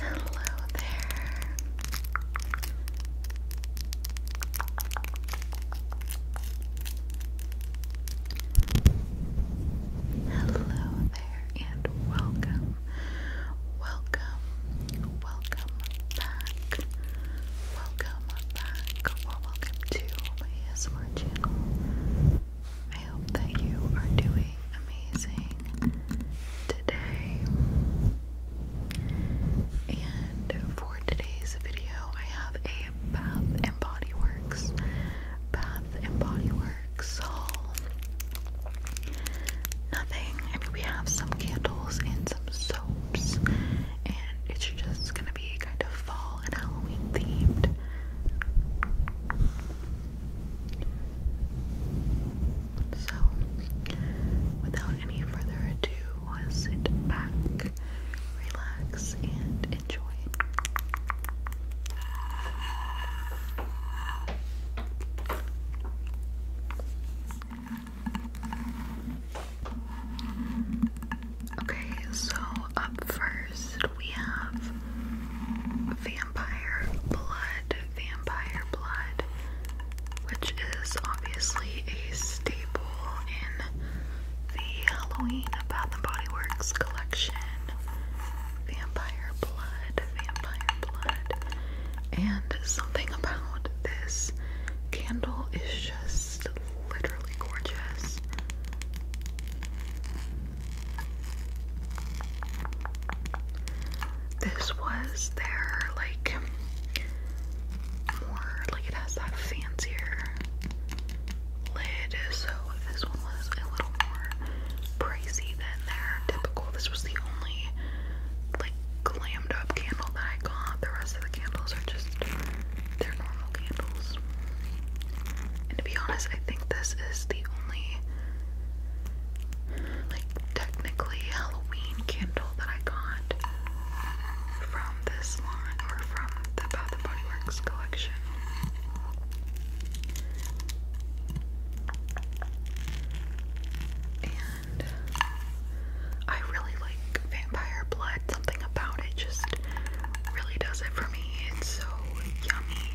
Hello there. Hello there and welcome. Welcome. Welcome back. Welcome back welcome to my ASMR channel. I hope that you are doing amazing today. And for today's video, I have a Bath and Body Works Bath and Body Works haul. Nothing. I mean, we have some candles and some soaps, and it's just gonna be kind of fall so, without any further ado, sit back, relax, and enjoy. Okay, so up first we have Vampire Blood. Vampire Blood, which is obviously a staple in the Halloween Bath and Body Works collection. Vampire Blood, Vampire Blood. And something about this candle is just literally gorgeous. This was their like more like it has that fancier lid, so this one was a little more pricey than their typical. This was the only like glammed up candle that I got. The rest of the candles are just they're normal candles. And to be honest, I think this is the only, like, technically Halloween candle that I got from this line or from the Bath and Body Works collection. And I really like vampire blood, something about it just really does it for me. It's so yummy.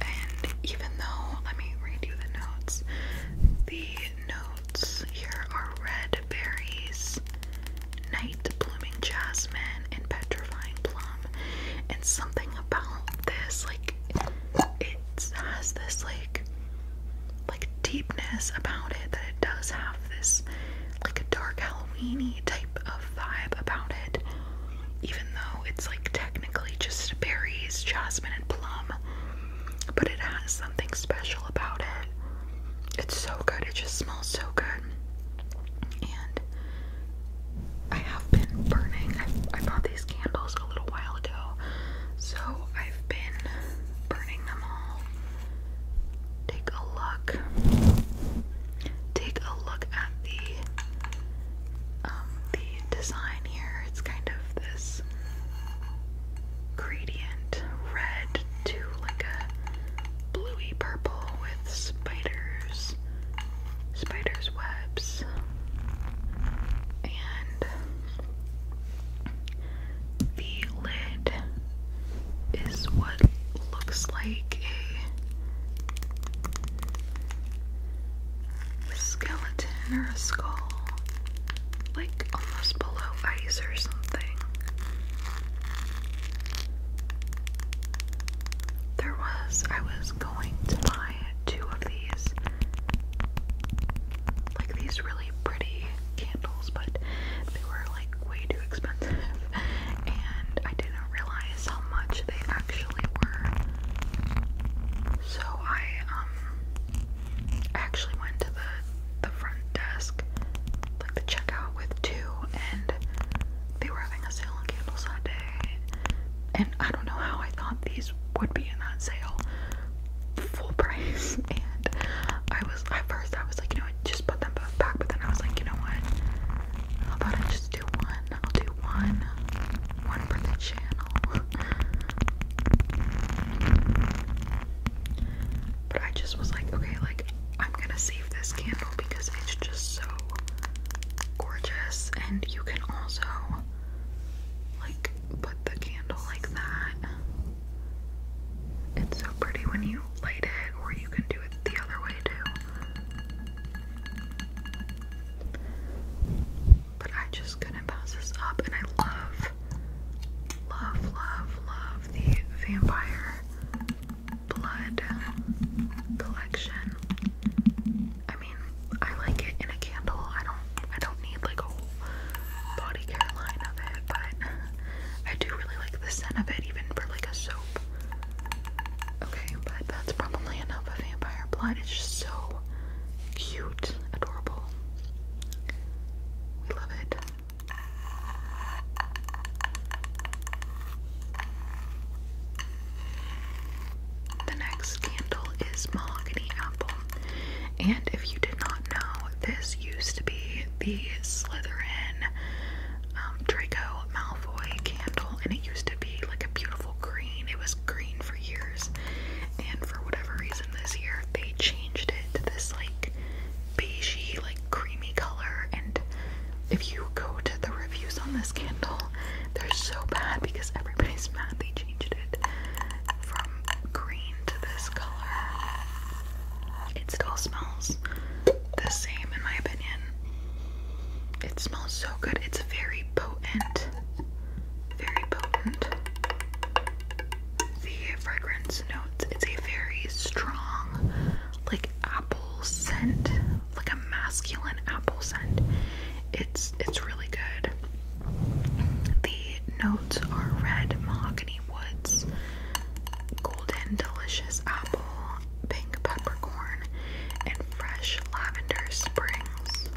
And even though, let me read you the notes. The notes here are red berries, night blooming jasmine, and petrifying plum. And something about this, like, it has this, like, like deepness about it that it does have this like a dark Halloweeny type of vibe about it, even though it's like technically just berries, jasmine, and plum. But it has something special about it. It's so good. It just smells so good. And I have been burning. I, I bought these candles a little while ago, so I've been burning them all take a look. Take a look at the um, the design here. It's kind of this gradient red to like a bluey purple with spiders, spiders webs, and the lid is what looks like a skeleton or a skull, like almost below ice or something. There was, I was going to buy two of these, like these really pretty candles, but they were like way too expensive, and I didn't realize how much they actually were. So I um I actually went to the the front desk, like the checkout with two, and they were having a sale on candles that day. And I don't know how I thought these would be in that sale full price, and I at first I was like, you know, just put them back, but then I was like, you know what? How about I just do one? I'll do one, one for the channel. but I just was like, okay, like I'm gonna save this candle because it's just so gorgeous, and you can also like put the candle like that it's so pretty when you light it, or you can do it the other way too. But I just couldn't pass this up, and I love, love, love, love the vampire blood collection. I mean, I like it in a candle. I don't, I don't need like a whole body care line of it, but I do really like the scent of it, even for like a soap. Okay, but that's probably enough of vampire blood. It's just so cute, adorable. We love it. The next candle is Mahogany Apple. And if you did not not this used to be the Slytherin um, Draco Malfoy candle, and it used to be like a beautiful green. It was green for years, and for whatever reason, this year they changed it to this like beigey, like creamy color. And if you go to the reviews on this candle, they're so bad because everybody's mad they changed it from green to this color. It still smells the same, in my opinion. It smells so good. It's very potent. Very potent. The fragrance notes, it's a very strong, like apple scent, like a masculine apple scent. It's it's really good. The notes are red mahogany woods, golden delicious apple, pink peppercorn, and fresh lavender springs.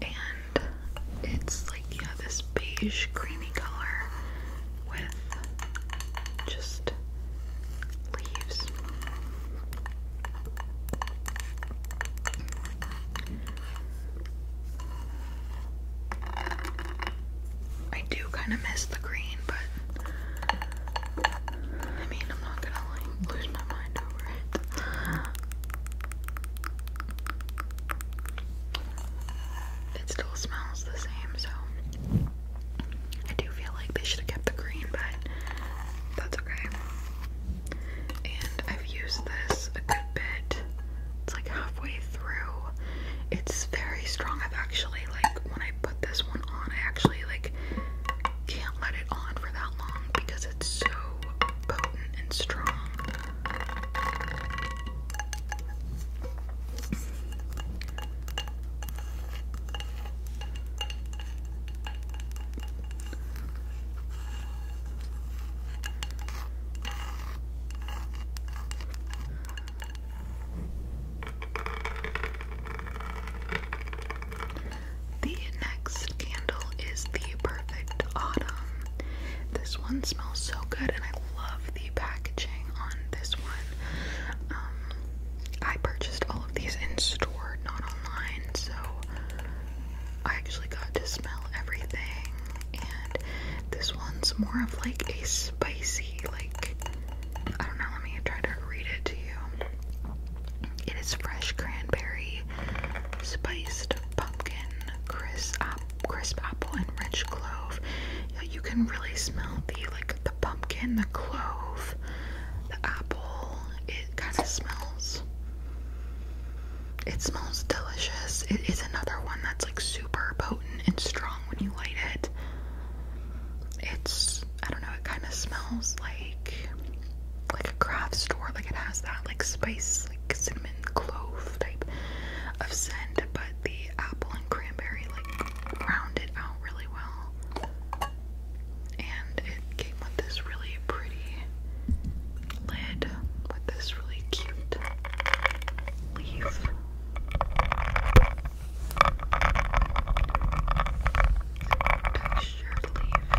And it's like, yeah, this beige creamy color with just leaves. I do kind of miss the green, but I mean, I'm not gonna like lose my mind over it. It still smells the same, so I do feel like they should have kept the green, but that's okay and I've used this a good bit. It's like halfway through. It's very strong. I've actually like when I put this one on, I actually like can't let it on for that long because it's so potent and strong. The next candle is the Perfect Autumn. This one smells so good, and I love the packaging on this one. Um, I purchased all of these in store, not online so I actually got to smell everything. And this one's more of like a spicy, like I don't know, let me try to read it to you. It is fresh cranberry, spiced pumpkin, crisp, crisp apple, and rich clove. Yeah, you can really smell the like the pumpkin, the clove, the apple. It it kind of smells. It smells delicious. It is another one that's like super potent and strong when you light it. It's I don't know, it kind of smells like like a craft store. Like it has that like spice, like cinnamon clove type of scent, but the apple and cranberry like round it out really well and it came with this really pretty lid with this really cute leaf. Textured leaf.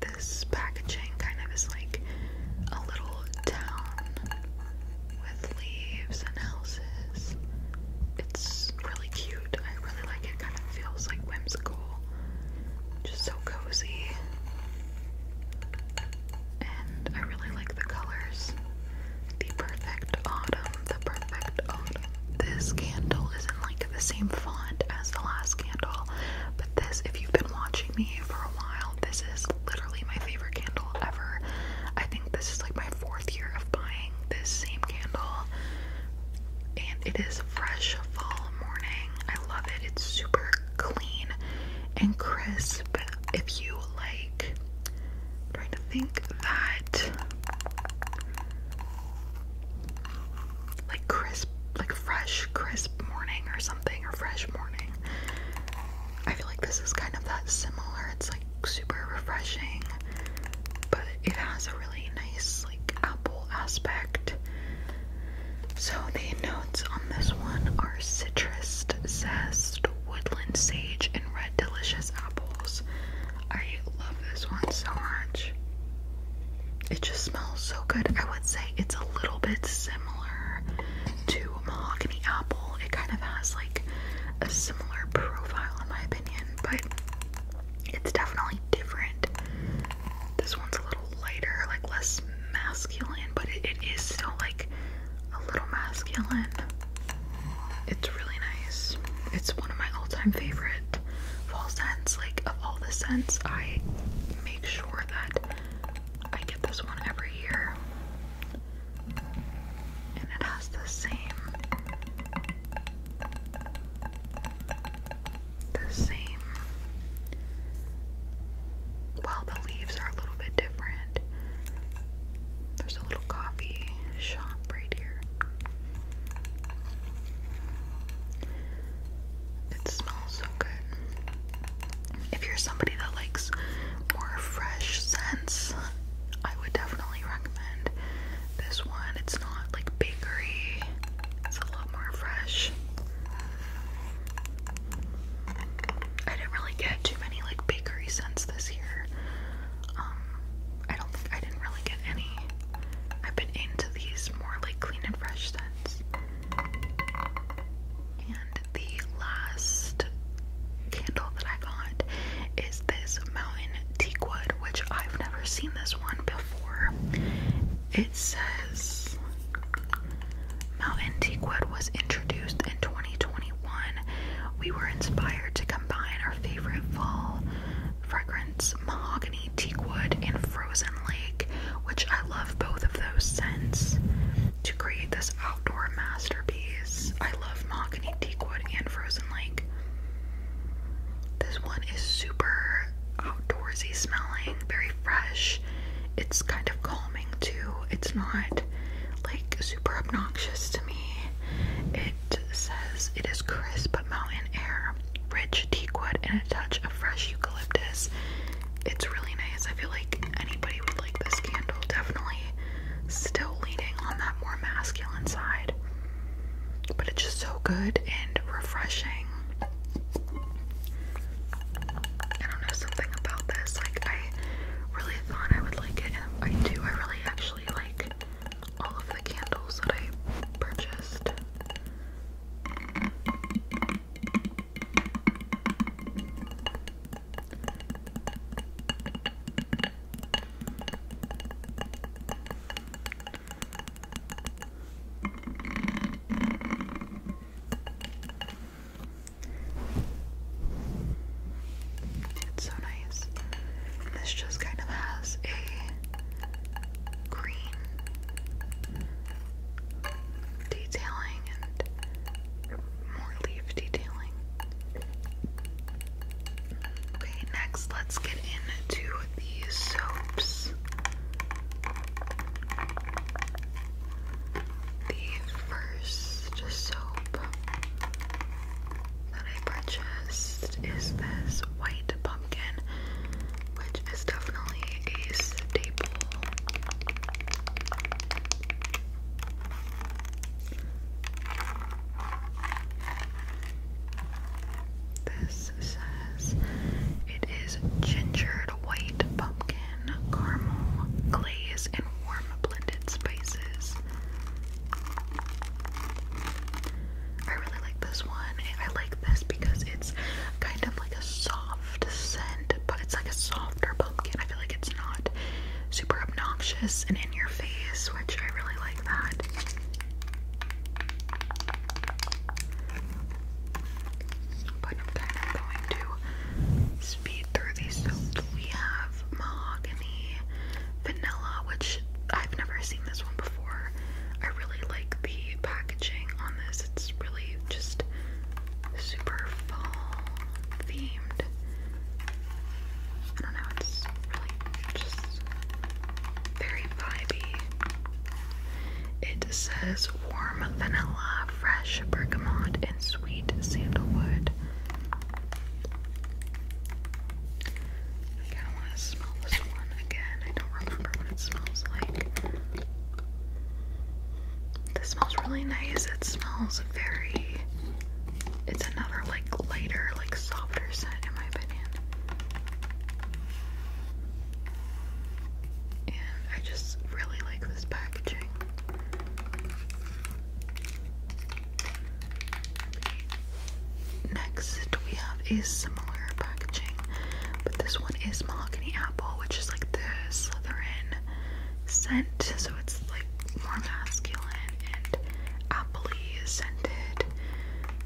This packaging kind of is like a little town with leaves and houses. It's really cute. I really like it. Kind of feels like whimsical. Just so cozy. And I really like the colors. The perfect autumn, the perfect This candle is in like the same font as the last candle, but this, if you've been watching me for a while, this is literally my favorite candle ever. I think this is like my fourth year of buying this same candle, and it is fresh fall morning. I love it. It's super clean and crisp. If you like, trying to think that like crisp, like fresh, crisp morning or something, or fresh morning. I feel like this is kind of that similar. It's like super refreshing, but it has a really nice apple aspect. So the notes on this one are citrus zest, woodland sage, and red delicious apples. I love this one so much. It just smells so good. I would say it's a little bit similar to mahogany apple. It kind of has like a similar profile in my opinion, but it's definitely different. This one's a little lighter, like less masculine, but it is still like a little masculine. It's really nice. It's one of my all-time favorite fall scents. Like of all the scents, I make sure that I get this one every year. And it has the same the same. Well, the leaves are a little bit different. There's a little coffee shop right here. It smells so good. If you're somebody that likes more fresh scents, I would definitely recommend this one, it's not like bakery, it's a lot more fresh. I didn't really get too many like bakery scents this year. Um, I don't think I didn't really get any. I've been into these more like clean and fresh scents. And the last candle that I got is this mountain teakwood, which I've never seen this one before. It says Mountain Teakwood was introduced in 2021. We were inspired to combine our favorite fall fragrance, mahogany, teakwood, and frozen lake, which I love both of those scents, to create this outdoor masterpiece. I love mahogany, teakwood, and frozen lake. This one is super outdoorsy smelling, very fresh. It's kind of calming too. It's not like super obnoxious to me. It says it is crisp but mountain air, rich teakwood, and a touch of fresh eucalyptus. It's really nice. I feel like anybody would like this candle. Definitely still leaning on that more masculine side but it's just so good and refreshing. I don't know something about this. Like I really thought I would like it, I do. I really actually like all of the candles that I purchased. It's so nice. This just kind of has a green detailing and more leaf detailing. Okay, next let's get into the soaps. The first soap that I purchased is this white pumpkin, which is definitely a staple. This it is gingered white pumpkin, caramel, glaze, and warm blended spices. I really like this one. I like this because it's kind of like a soft scent, but it's like a softer pumpkin. I feel like it's not super obnoxious and in your face, which I really like that. But I'm kind of going to speed through these. So we have mahogany, vanilla, which I've never seen this one before. I really like the packaging on this. It's really just super fall themed. I don't know, it's really just very vibey. It says warm vanilla, fresh bergamot, and sweet sandalwood. I kind of want to smell this one again. I don't remember what it smells like. This smells really nice. It smells very. It's another lighter, like softer scent in my opinion. And I just really like this packaging. Next, we have a similar packaging, but this one is Mahogany Apple, which is like the Slytherin scent, so it's like more masculine and apple scented.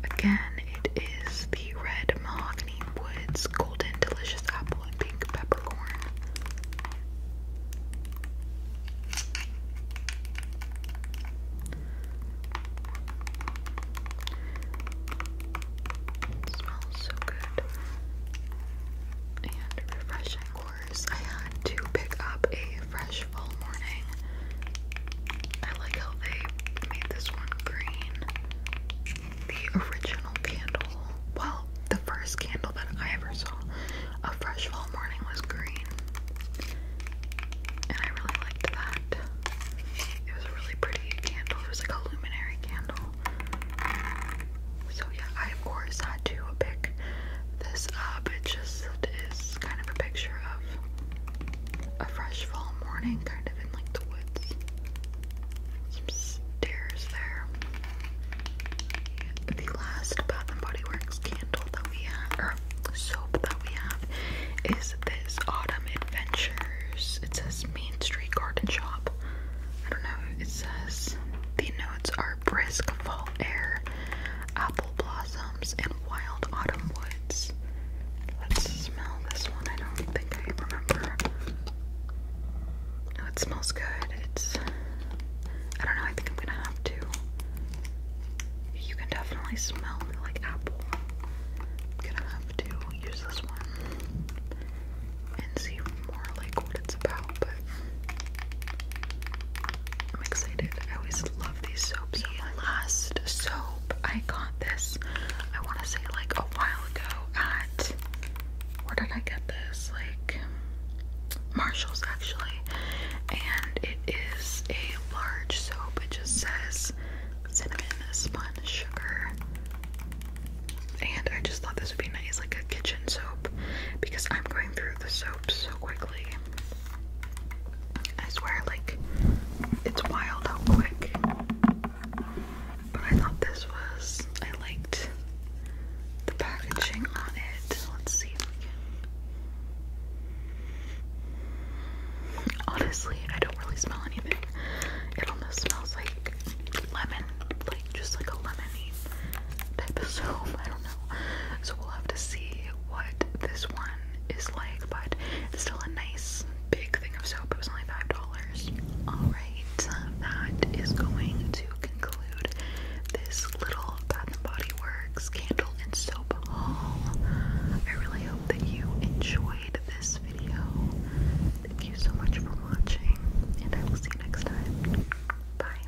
Again, it is the red mahogany woods, golden delicious apple, and pink peppercorn. smells so good and refreshing. Of course, I had to pick up a fresh fall morning. I like how they made this one green. The original candle, well, the first candle that I ever saw of Fresh Fall Morning was green. And I really liked that. It was a really pretty candle. It was like a luminary candle. So yeah, I of course had to pick this up. It just is it's kind of a picture of a fresh fall morning, kind of in like the woods. Some stairs there. The last Bath and Body Works candle that we have, or soap that we have, is this Autumn Adventures. It says Main Street Garden Shop. I don't know, it says the notes are brisk fall air, apple blossom, palms and wild autumn woods. Let's smell this one. I don't think I remember. No, oh, it smells good. It's. I don't know. I think I'm gonna have to. You can definitely smell it like apple. I'm gonna have to use this one and see more like what it's about, but I'm excited. I always love these soaps. last soap I got this, I want to say like a while ago at where did I get this? Like Marshalls actually, and it is a large soap. It just says cinnamon spun sugar, and I just thought this would be nice, like a kitchen soap, because I'm going through the soaps so quickly. I swear, like, it's wild how quick. But I thought this was, I liked the packaging on it. Let's see Honestly, I don't really smell anything. It almost smells like lemon, like just like a lemony type of soap. I don't know. So we'll have to see what this one is like, but it's still a nice big thing of soap. It was only five dollars. Alright, that is going to conclude this little Bath and Body Works candle and soap haul. I really hope that you enjoyed this video. Thank you so much for watching, and I will see you next time. Bye.